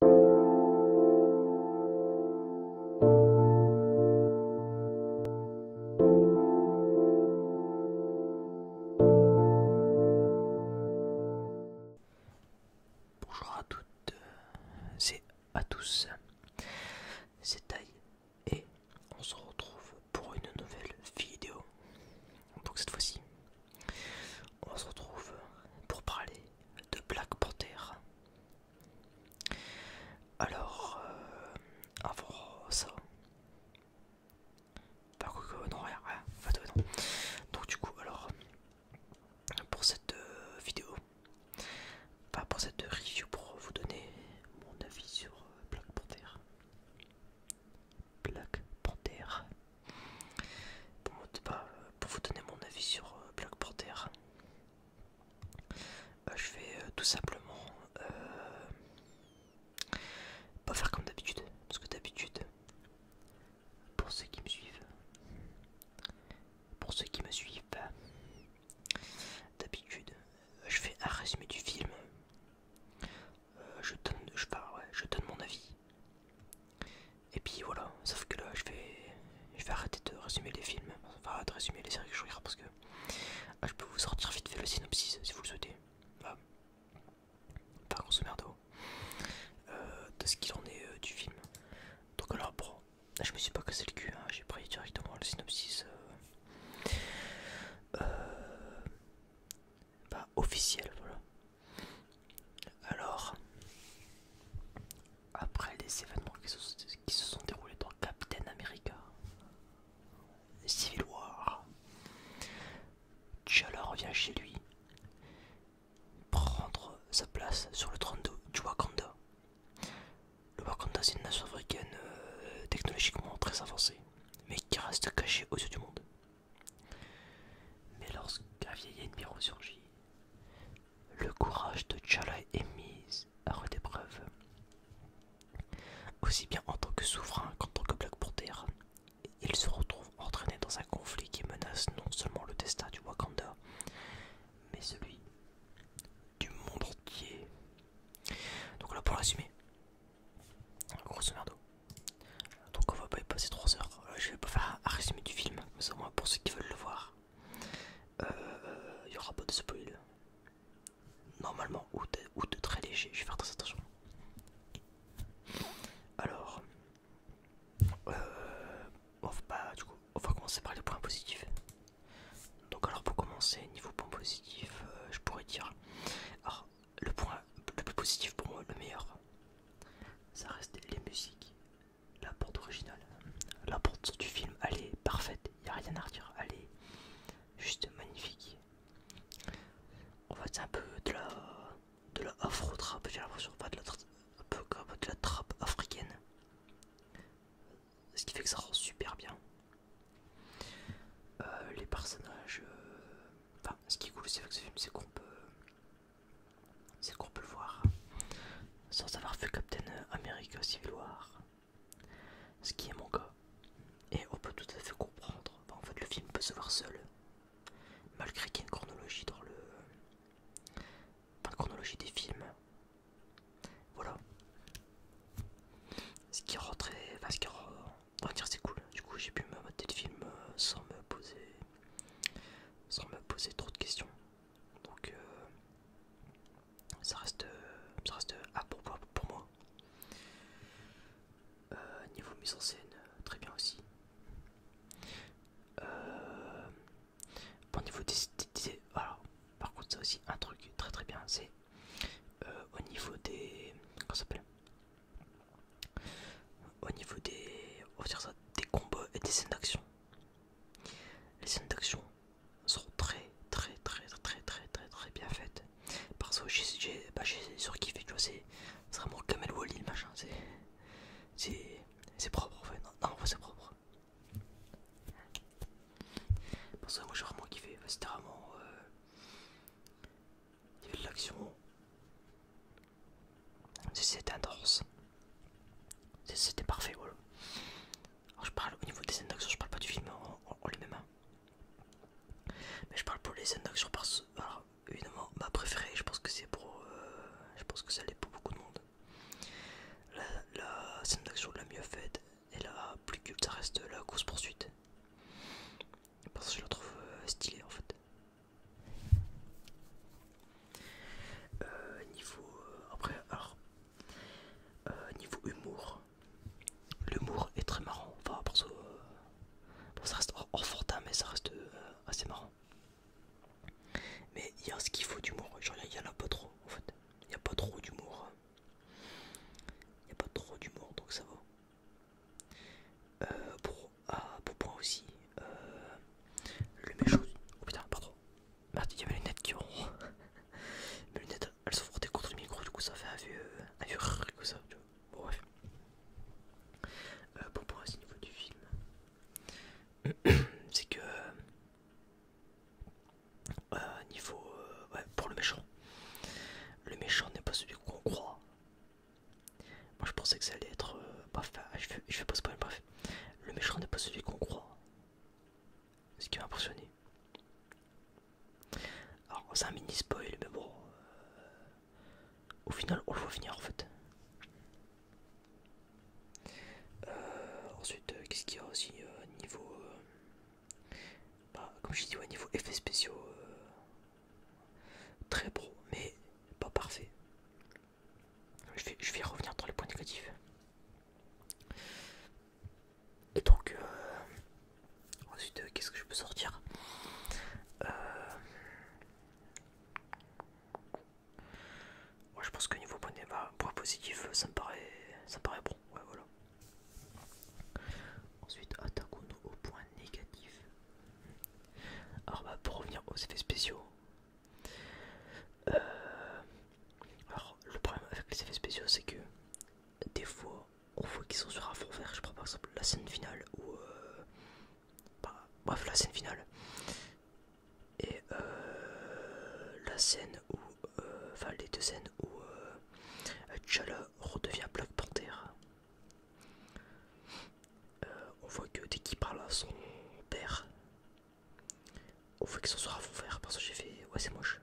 Bonjour à toutes et à tous, c'est Taille et on se retrouve pour une nouvelle vidéo. Donc cette fois-ci, on se retrouve pour parler de Black Panther. Alors, avant euh, ça, bah, non, rien, Donc, du coup, alors, pour cette euh, vidéo, Enfin, pour cette review, pour vous donner mon avis sur euh, Black Panther. Black Panther bah, pour, vous donner mon avis sur euh, Black Panther, euh, je vais euh, tout simplement pas faire comme d'habitude, parce que d'habitude, pour ceux qui me suivent, pour ceux qui me suivent, bah, d'habitude, je fais un résumé du film, bah, je donne mon avis et puis voilà, sauf que là je vais, je vais arrêter de résumer les films, enfin de résumer les séries que je regarde parce que ah, je peux vous sortir vite fait le synopsis si vous le souhaitez. pas Enfin grosso merdo. Oh. Euh, de ce qu'il en est euh, du film. Donc alors bon, je me suis pas cassé le cul, hein, j'ai pris directement le synopsis euh, bah, officiel, voilà. Alors, après les événements qui se, sont déroulés dans Captain America, Civil War, T'Challa revient chez lui prendre sa place sur le trône du Wakanda. Le Wakanda, c'est une nation africaine euh, technologiquement très avancée, mais qui reste cachée aux yeux du monde. Mais lorsqu'un vieil ennemi ressurgit, le courage de Chalai est mis à rude épreuve. Aussi bien en tant que souverain qu'en tant que pour terre, il se retrouve entraîné dans un conflit qui menace non seulement le destin du Wakanda, mais celui du monde entier. Donc là pour résumer, grosso d'eau. Donc on va pas y passer 3 heures. Euh, je vais pas faire un résumé du film, mais au moins pour ceux qui veulent le voir. Il euh, y n'y aura pas de spoil. Normalement, ou de, très léger, je vais faire très attention. Alors, euh, on, va, on va commencer par les points positifs. Donc alors pour commencer, niveau point positif, je pourrais dire... le point le plus positif pour moi, le meilleur, ça reste les musiques. La porte originale. La porte du film, elle est parfaite. Il n'y a rien à redire. Elle est juste magnifique. On va être un peu de la, de la afro-trap, j'ai l'impression. pas de la un peu comme de la trappe africaine. Ce qui fait que ça rend super bien. Euh, les personnages... Euh, enfin, ce qui est cool aussi avec ce film, c'est qu'on peut... C'est qu'on peut le voir sans avoir vu Captain America Civil War, ce qui est mon cas. Et on peut tout à fait comprendre. en fait, le film peut se voir seul, malgré qu'il y ait une chronologie dans le, chronologie des films. Voilà. Ce qui rentrait, enfin, ce qui on va dire c'est cool. Du coup, j'ai pu me mettre le film euh, sans me poser sans me poser trop de questions. Donc euh, ça reste, ça reste à pour, moi. Euh, niveau mise en scène, très bien aussi. Euh, niveau par contre, c'est aussi un truc très très bien, c'est euh, au niveau des, comment s'appelle au niveau des, ça, des combats et des scènes d'action. Les scènes d'action sont très très très très très très très bien faites. Parce que j'ai bah, surkiffé, tu vois, c'est vraiment Kamel Wally le machin, c'est propre en fait, non, non c'est propre. Parce que moi j'ai vraiment kiffé, c'était vraiment... Euh, il de l'action, c'était intense. c'était parfait, je parle au niveau des scènes d'action, je parle pas du film en, les mêmes. Hein. Mais je parle pour les scènes d'action parce alors évidemment ma préférée, je pense que c'est pour euh, je pense que ça l'est pour beaucoup de monde. La, la scène d'action la mieux faite et la plus culte ça reste la course poursuite. Parce que je le trouve euh, stylé en fait. Euh, niveau. Euh, après, alors. niveau humour. L'humour est très marrant. Enfin, parce ça, ça reste hors, fortin, mais ça reste assez marrant. Mais il y a ce qu'il faut d'humour. il y, en a pas trop en fait. Il n'y a pas trop d'humour. Il n'y a pas trop d'humour, donc ça va. Euh, pour, ah, pour point aussi, euh, le méchant. Oh putain, pardon. Merde, il y avait les lunettes qui ont. Mes lunettes, elles sont frottées contre le micro, du coup ça fait un vieux. un vieux comme ça, tu vois. bref. Euh, pour point aussi, niveau du film, c'est que. Euh, niveau. ouais, pour le méchant. Le méchant n'est pas celui qu'on croit, moi je pensais que ça allait être. Euh, parfait je fais, je fais pas spoil, bref. Le méchant n'est pas celui qu'on croit. Ce qui m'a impressionné. Alors c'est un mini spoil, mais bon. Euh, au final, on le voit venir en fait. Euh, ensuite, qu'est-ce qu'il y a aussi au niveau. Bah, comme je dis, au niveau effets spéciaux. Très bon mais pas parfait. Je vais, revenir dans les points négatifs. Et donc, euh, ensuite, euh, qu'est-ce que je peux sortir euh, Je pense que niveau point, point positif, ça me paraît, ça paraît bon. voilà. Ensuite, attaquons au point négatif. Alors bah, pour revenir aux effets spéciaux. Euh, alors le problème avec les effets spéciaux c'est que des fois on voit qu'ils sont sur un fond vert. Je prends par exemple la scène finale ou euh, bah, bref la scène finale et euh, la scène où enfin les deux scènes où redevient Black Panther. Euh, on voit que dès qu'il parle à son père, on voit qu'il s'en sera à fond vert parce que j'ai fait ouais c'est moche.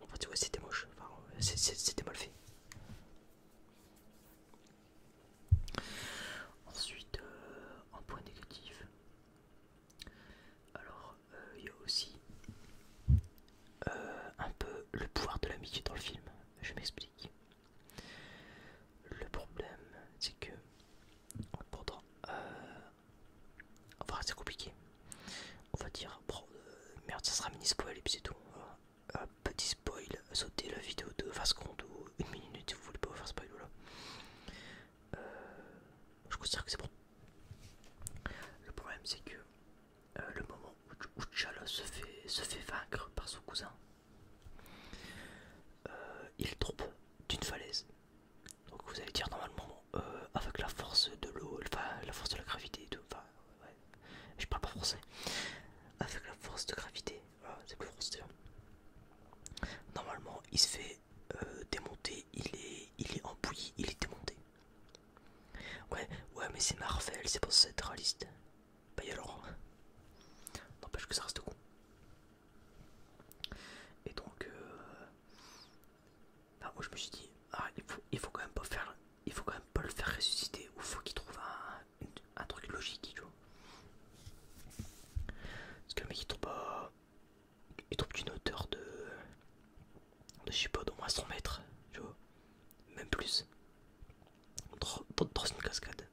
Enfin ouais c'était moche, enfin, euh, c'était mal fait. Ensuite euh, un point négatif. Alors il y a aussi un peu le pouvoir de l'amitié dans le film, je m'explique. Le problème, c'est que pourtant, euh, enfin c'est compliqué. On va dire, euh, merde, ça sera mini spoil et puis c'est tout. Hein. petit spoil, sauter la vidéo de 20 secondes ou une minute si vous voulez pas vous faire spoil là. Euh, je considère que c'est bon. Le problème c'est que euh, le moment où, Tchala se se fait vaincre par son cousin, euh, il tombe d'une falaise. Donc vous allez dire normalement euh, avec la force de l'eau, la force de la gravité, je parle pas français. Avec la force de gravité, c'est plus français. Hein. Normalement il se fait euh, démonter, il est, il est il est démonté. Ouais, ouais mais c'est Marvel, c'est pas ça réaliste. Bah et alors N'empêche que ça reste con. Et donc, euh, moi je me suis dit, ah, il faut, quand même pas faire, il faut quand même pas le faire ressusciter. Ou faut qu'il trouve un, truc logique, tu vois. Parce que le mec il trouve pas... il trouve une hauteur de, de je sais pas, d'au moins 100 mètres, tu vois, même plus dans une cascade.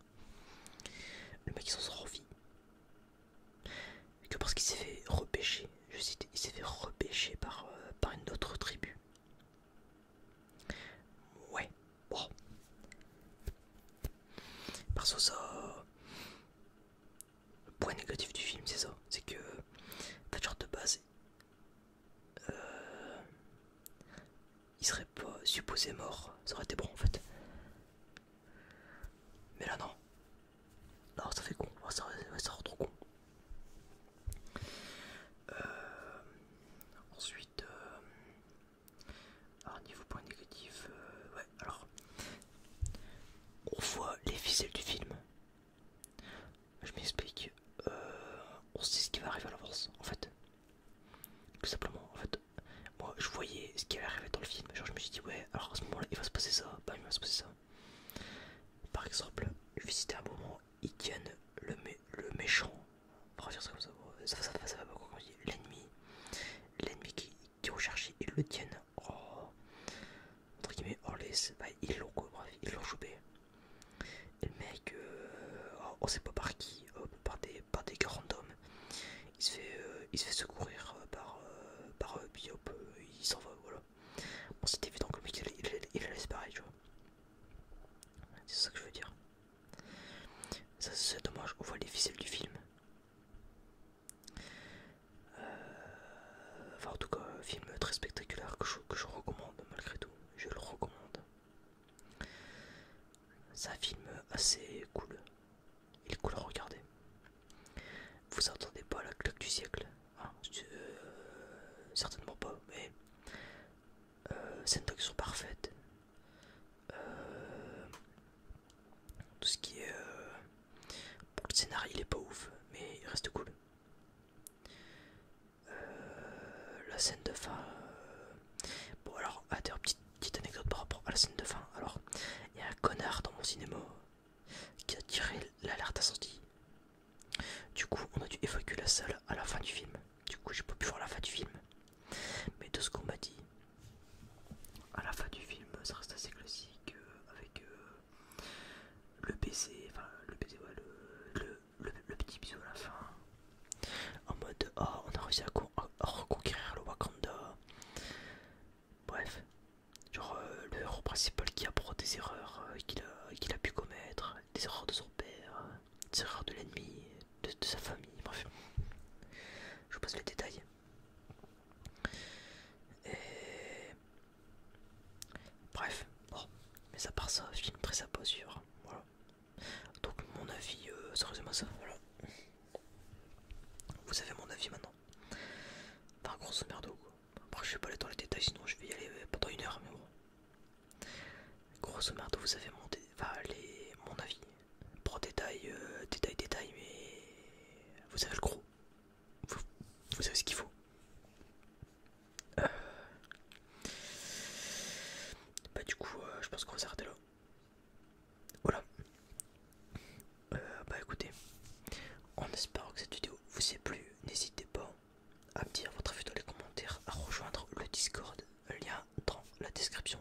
Le mec il s'en sort vie. Que parce qu'il s'est fait repêcher, je cite, il s'est fait repêcher par, euh, par une autre tribu. Ouais, bon. Parce que ça. Le point négatif du film, c'est ça. C'est que. T'as genre de base. Euh, il serait pas supposé mort. Ça aurait été bon en fait. Mais là non. Alors ça fait con. ça, rend trop con. Euh, ensuite, alors euh, niveau point négatif, euh, ouais, alors on voit les ficelles du film. Je m'explique. on sait ce qui va arriver à l'avance en fait. Tout simplement, en fait, moi je voyais ce qui allait arriver dans le film. Genre, je me suis dit, ouais, alors à ce moment-là, il va se passer ça, bah il va se passer ça. Par exemple, je vais citer un moment, ils tiennent le, le méchant, on va dire ça comme ça, ça, ça, ça, ça va pas quand on dit l'ennemi, l'ennemi qui, est recherché, ils le tiennent, oh. entre guillemets, hors les, bah, ils l'ont, il ils et le mec, euh, oh, on sait pas par qui, euh, par des grands hommes, Il se fait, euh, secourir par par eux, il s'en va, voilà. c'est évident que lui, il, tu vois. C'est ça que je veux dire. Ça c'est dommage, on voit les ficelles du film. enfin en tout cas, film très spectaculaire que je recommande malgré tout, je le recommande. C'est un film assez cool. Il est cool à regarder. Vous entendez pas la cloque du siècle hein, euh, Certainement pas, mais euh, scènes sont parfaite. Euh, tout ce qui est. Euh, le scénario, il est pas ouf, mais il reste cool. Euh, la scène de fin. Euh, bon, alors, à ah, petite, petite anecdote par rapport à la scène de fin. Alors, il y a un connard dans mon cinéma qui a tiré l'alerte sortie. Du coup, on a dû évacuer la salle à la fin du film. Du coup, j'ai pas pu voir la fin du film. Mais de ce qu'on m'a dit, à la fin du film, ça reste assez classique euh, avec le PC, enfin le PC, le, le, petit bisou à la fin. En mode, Ah, on a réussi à, reconquérir le Wakanda. Bref, genre euh, le héros principal qui apprend des erreurs euh, qu'il a, qu'il a pu commettre, des erreurs de son père, des erreurs de l'ennemi, de, sa famille, bref. Je vous passe les détails. Et... Bref, mais à part ça, film très sympa sûr voilà. Donc mon avis, euh, sérieusement ça ça, voilà. Vous avez mon avis maintenant. Enfin grosso merdo Après je vais pas aller dans les détails sinon je vais y aller euh, pendant une heure mais bon. Grosso merdo vous avez mon, enfin, mon avis. Pour détail, euh, détail, détail mais vous avez le gros. Vous, vous savez ce qu'il faut. Euh. Bah du coup euh, je pense qu'on va là. Voilà. Euh, bah écoutez, On espère que cette vidéo vous a plu, n'hésitez pas à me dire votre avis dans les commentaires, à rejoindre le Discord, lien dans la description.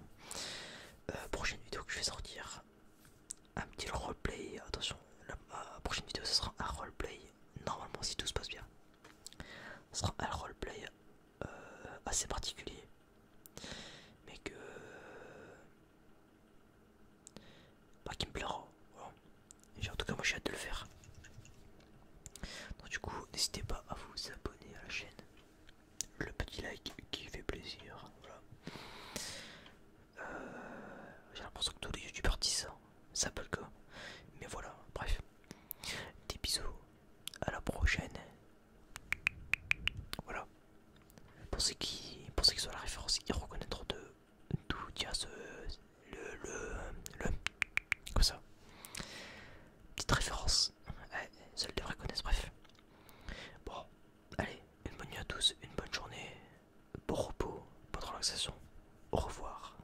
prochaine vidéo que je vais sortir, un petit roleplay, attention, la, la prochaine vidéo ce sera un roleplay normalement si tout se passe bien. Ce sera un roleplay euh, assez particulier. Mais que... pas bah, qui me plaira. en tout cas moi j'ai hâte de le faire. du coup n'hésitez pas à vous abonner à la chaîne. Le petit like qui fait plaisir. Euh, j'ai l'impression que tous les youtubeurs disent ça. Ça peut le cas. Mais voilà, bref. Des bisous, à la prochaine. Voilà. Pour ceux qui, pour ceux qui sont à la référence, ils reconnaître de d'où tient ce. le. le. le. comme ça. Petite référence. seuls devraient connaître, bref. Bon, allez, une bonne nuit à tous, une bonne journée, bon repos, bonne relaxation. Au revoir.